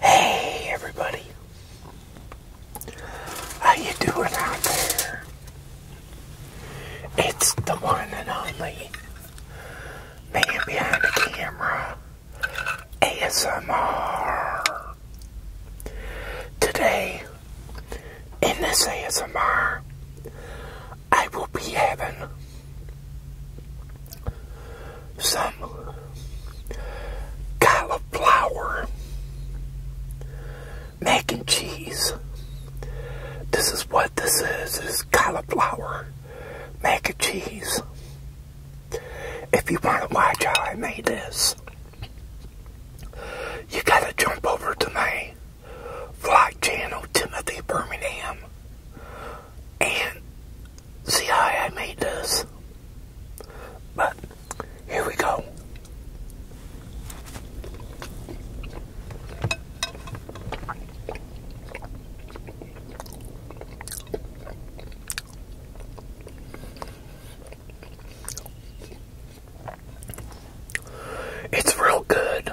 Hey everybody. How you doing out there? It's the one and only man behind the camera ASMR. Today in this ASMR I will be having some cauliflower mac and cheese. This is what this is, is cauliflower mac and cheese. If you want to watch how I made this, you gotta jump over to my vlog channel, Timothy Birmingham and see how I made this. But here we go. It's real good.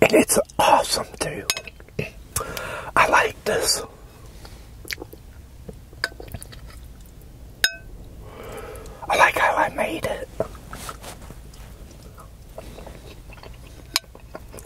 And it's awesome too. I like this. I like how I made it.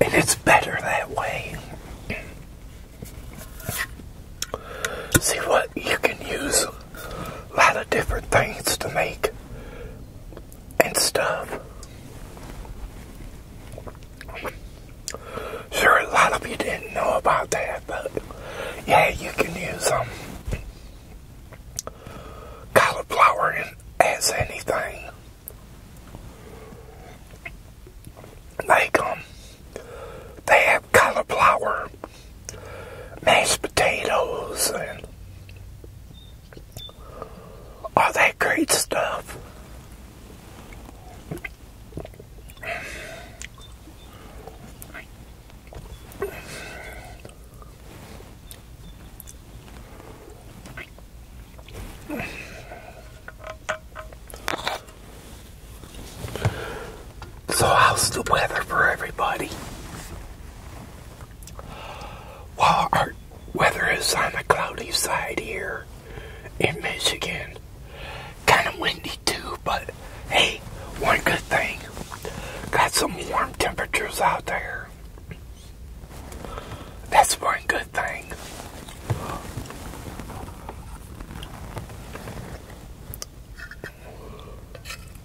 And it's better that way. See what you can use a lot of different things to make and stuff. Sure, a lot of you didn't know about that, but yeah, you can use um, cauliflower in, as anything. Like, um, they have cauliflower, mashed potatoes, and all that great stuff. So, how's the weather for everybody? While our weather is on the cloudy side here in Michigan, kind of windy too, but hey, one good thing, got some warm temperatures out there. That's one good thing.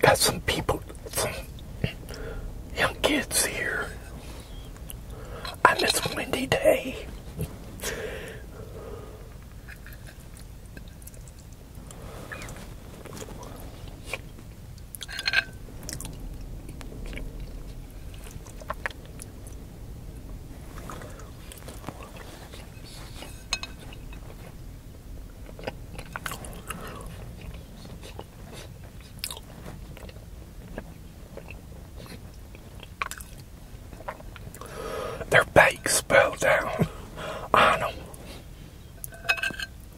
Got some people, some young kids here I miss windy day. Their bake spell down on them.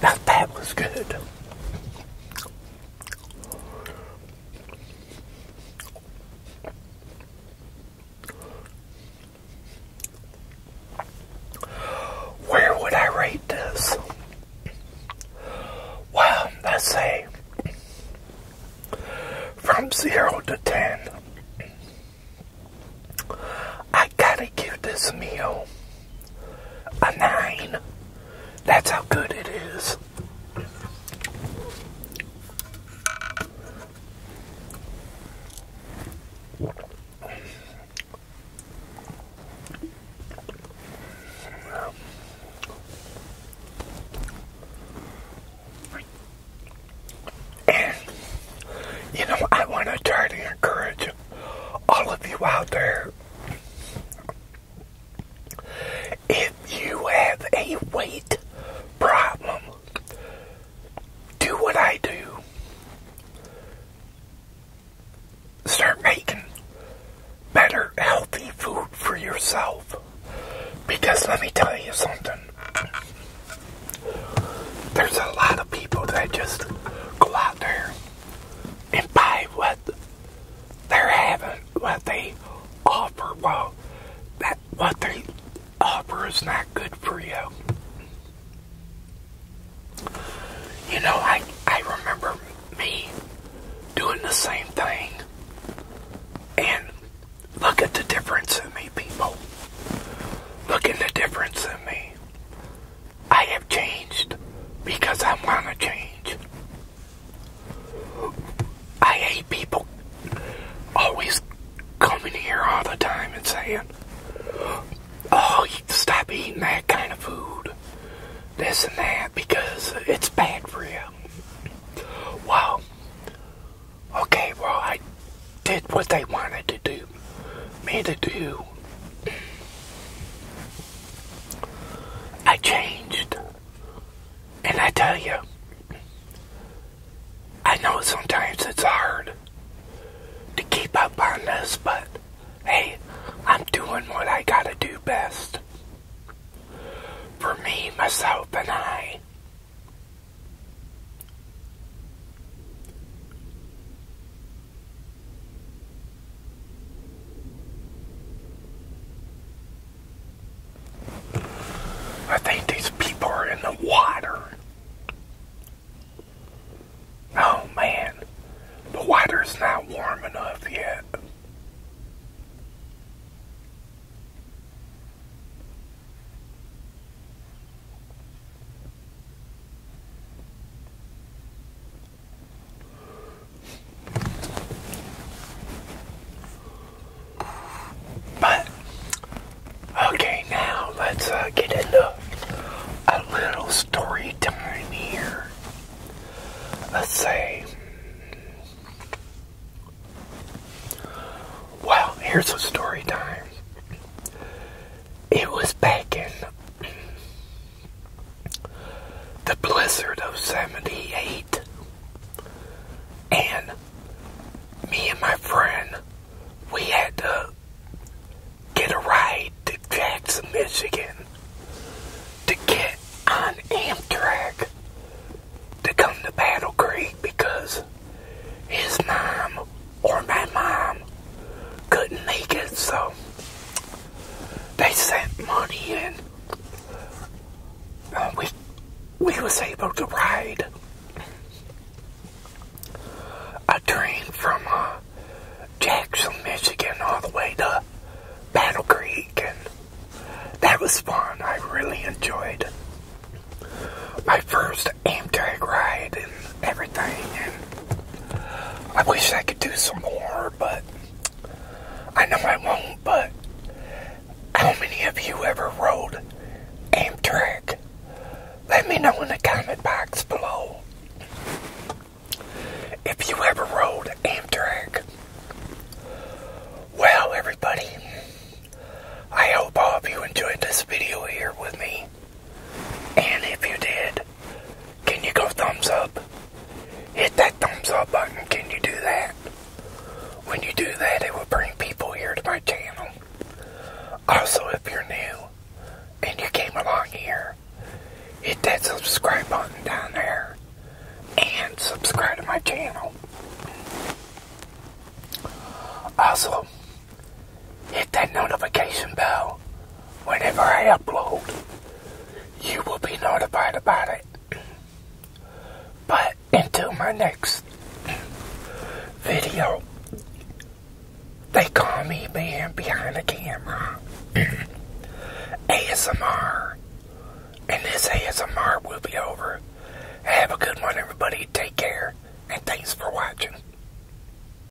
that was good. Where would I rate this? Well, let's say from zero to ten. I gotta give this meal a 9. That's how good it is. And, you know, I want to try to encourage all of you out there if you have a weight problem, do what I do. Start making better, healthy food for yourself. Because let me tell you something. There's a lot of people that just go out there and buy what they're having, what they offer. Well, that what they offer is not good for you. You know, I I remember me doing the same thing, and look at the difference in me, people. Look at the difference in me. I have changed because I want to change. I hate people always coming here all the time and saying, oh, you stop eating that kind of food, this and that, because it's bad for you. Well, okay, well, I did what they wanted to do me to do. I changed. And I tell you, I know sometimes it's hard to keep up on this, but hey, I'm doing what I gotta do best. For me, myself, and I. I think these people are in the water. Oh man, the water's not warm enough yet. But okay, now let's uh, get into a little story time here. Let's say, well, here's a story time it was back in the blizzard of 78 and me and my friend we had to get a ride to Jackson, Michigan to get on Amtrak to come to Battle Creek because his mom or my mom couldn't make it, so they sent money in. we we was able to ride a train from uh, Jackson, Michigan, all the way to Battle Creek, and that was fun. I really enjoyed my first Amtrak ride everything. I wish I could do some more, but I know I won't. But how many of you ever rode Amtrak? Let me know in the comment box below if you ever rode Amtrak. Well, everybody, I hope all of you enjoyed this video here with me. And if you did, can you go thumbs up? Hit that thumbs up button. Can you do that? When you do that, it will bring people here to my channel. Also, if you're new and you came along here, hit that subscribe button down there and subscribe to my channel. Also, hit that notification bell whenever I upload. You will be notified about it. But until my next video, they call me man behind the camera. ASMR. And this ASMR will be over. Have a good one, everybody. Take care. And thanks for watching.